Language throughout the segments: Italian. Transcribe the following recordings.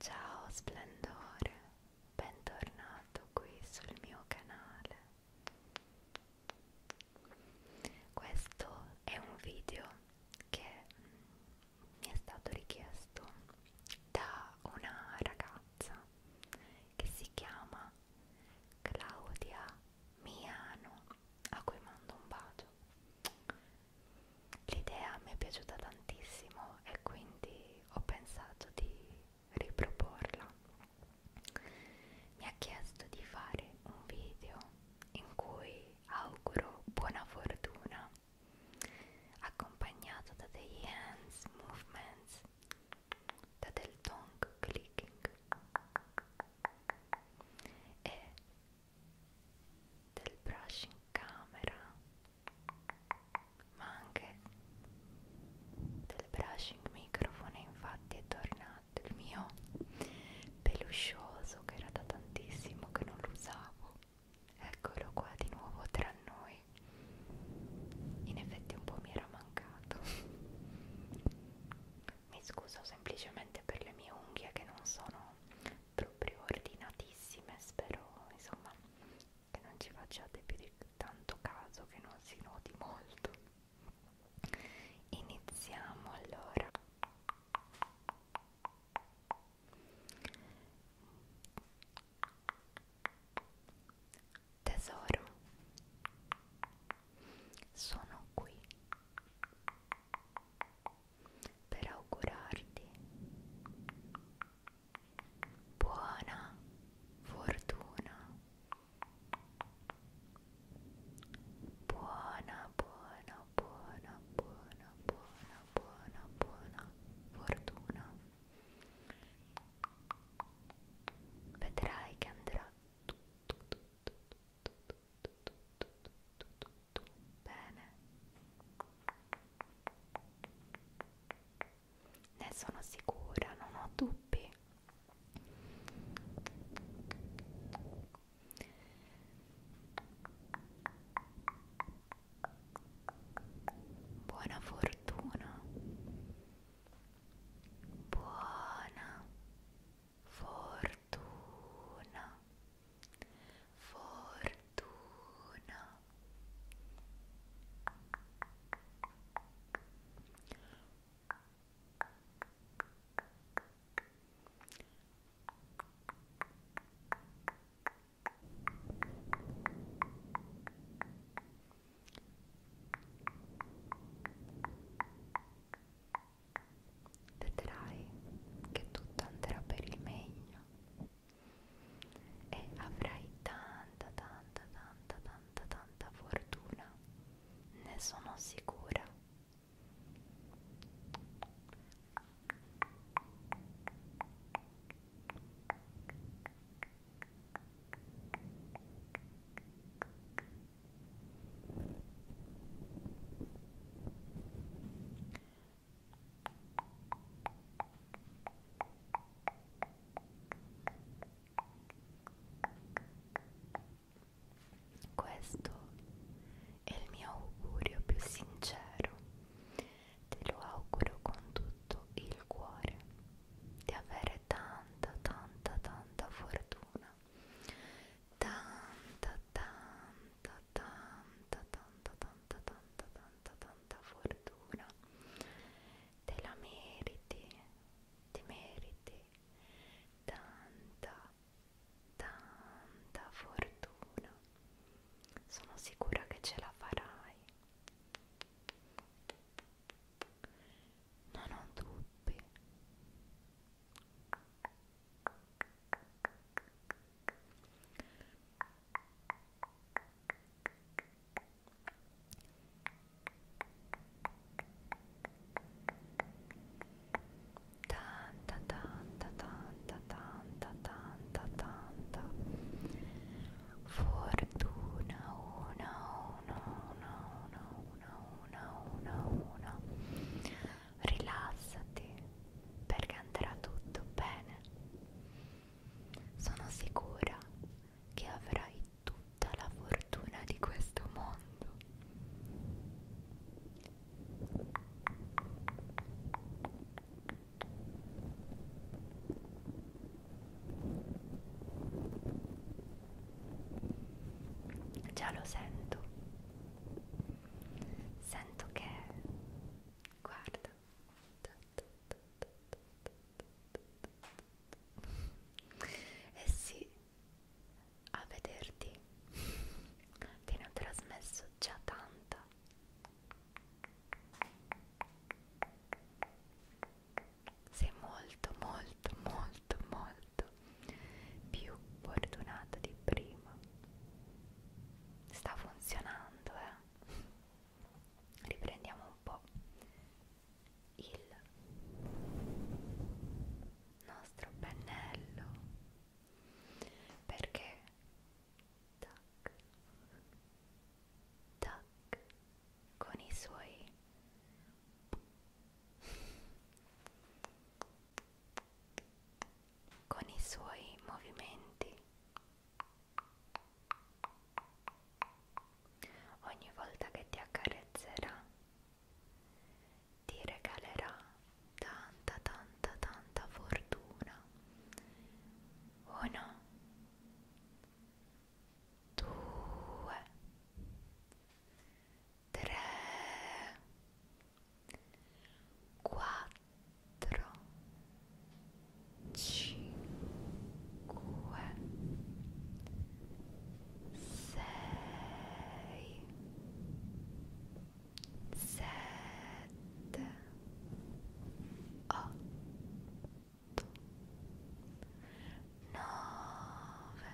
Ciao splendore, bentornato qui sul mio canale. Questo è un video che mm, mi è stato richiesto da una ragazza che si chiama Claudia Miano, a cui mando un bacio. L'idea mi è piaciuta tantissimo e quindi ho pensato di riproporla. Mi ha chiesto di fare un video in cui auguro buona fortuna accompagnato da degli hands movements, da del tongue clicking e del brush in camera ma anche del brushing microfono infatti è tornato il mio peluscioso che era da tantissimo che non lo usavo eccolo qua di nuovo tra noi in effetti un po' mi era mancato mi scuso semplicemente per le mie unghie che non sono proprio ordinatissime, spero insomma che non ci facciate più di tanto caso, che non si noti molto. Iniziamo allora. Tesoro, sono qui per augurarti buona fortuna, buona, buona, buona, buona, buona, buona, buona fortuna. Vedrai che andrà tutto, tutto, tutto, tutto, tutto, tutto, tutto, tutto bene ne sono sicura non ho dubbi buona fortuna buona fortuna, fortuna, vedrai che tutto andrà per il meglio e avrai tanta tanta tanta tanta tanta fortuna ne sono sicura questo è il mio augurio più sincero, te lo auguro con tutto il cuore, di avere tanta, tanta, tanta fortuna tanta tanta tanta tanta tanta tanta tanta tanta fortuna te la meriti ti meriti tanta tanta fortuna sono sicura che ce la farai non ho dubbi tanta tanta tanta tanta tanta tanta fortuna una una una una una una una una rilassati perché andrà tutto bene sono sicura che avrai tutta la fortuna di questo mondo Già lo sento. Sento che... Guarda. Eh sì, a vederti te ne ho trasmesso già tanta sei molto molto molto molto più fortunata di prima sta funzionando eh riprendiamo un po' il nostro pennello perché tac tac con i suoi con i suoi movimenti ogni volta che ti accarezzerà ti regalerà tanta tanta tanta fortuna o oh no due, tre, quattro, cinque, sei, sette, otto. 9 nove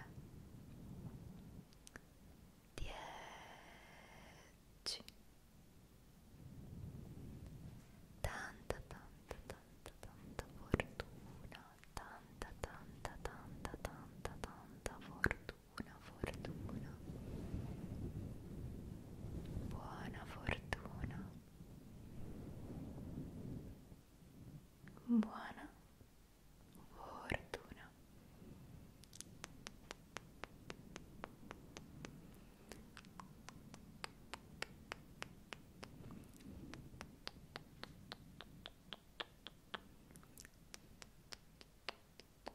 dieci tanta tanta tanta tanta fortuna tanta tanta tanta tanta tanta fortuna fortuna Buona fortuna. Buona fortuna. Buona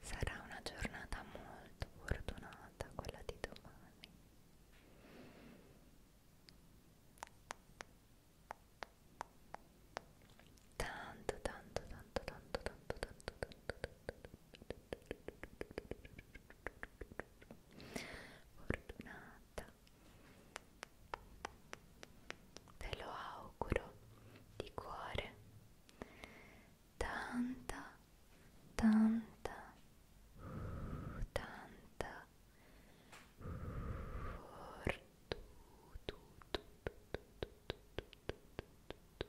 Sarà una giornata molto fortunata quella di domani. Tanto, tanto, tanto, tanto, tanto, tanto, tanto, tanto, tanto, fortunata ve lo auguro di cuore tanta tanta uh, tanta fortuna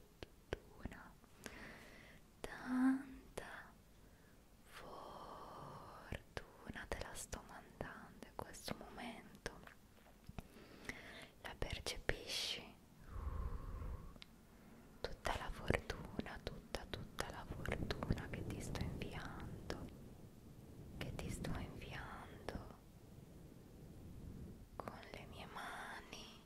fortuna, tanta fortuna te la sto mandando in questo momento. La percepisci? Tutta la fortuna, tutta, tutta la fortuna che ti sto inviando, che ti sto inviando con le mie mani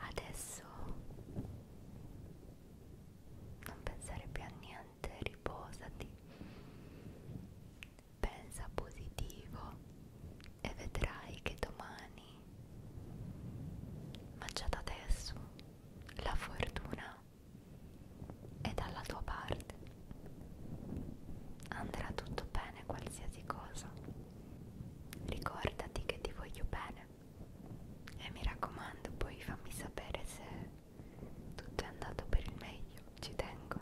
Adesso non pensare più a niente, riposati, pensa positivo e vedrai che domani, ma già da adesso, la fortuna è dalla tua parte. Andrà tutto bene qualsiasi cosa. Ricordati che ti voglio bene e mi raccomando poi fammi sapere se tutto è andato per il meglio, ci tengo.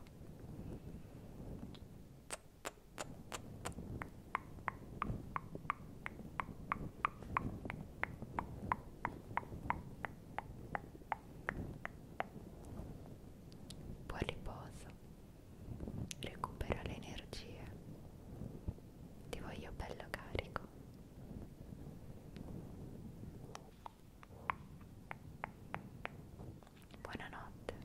Buon riposo recupera le energie, ti voglio bello carico. Buonanotte.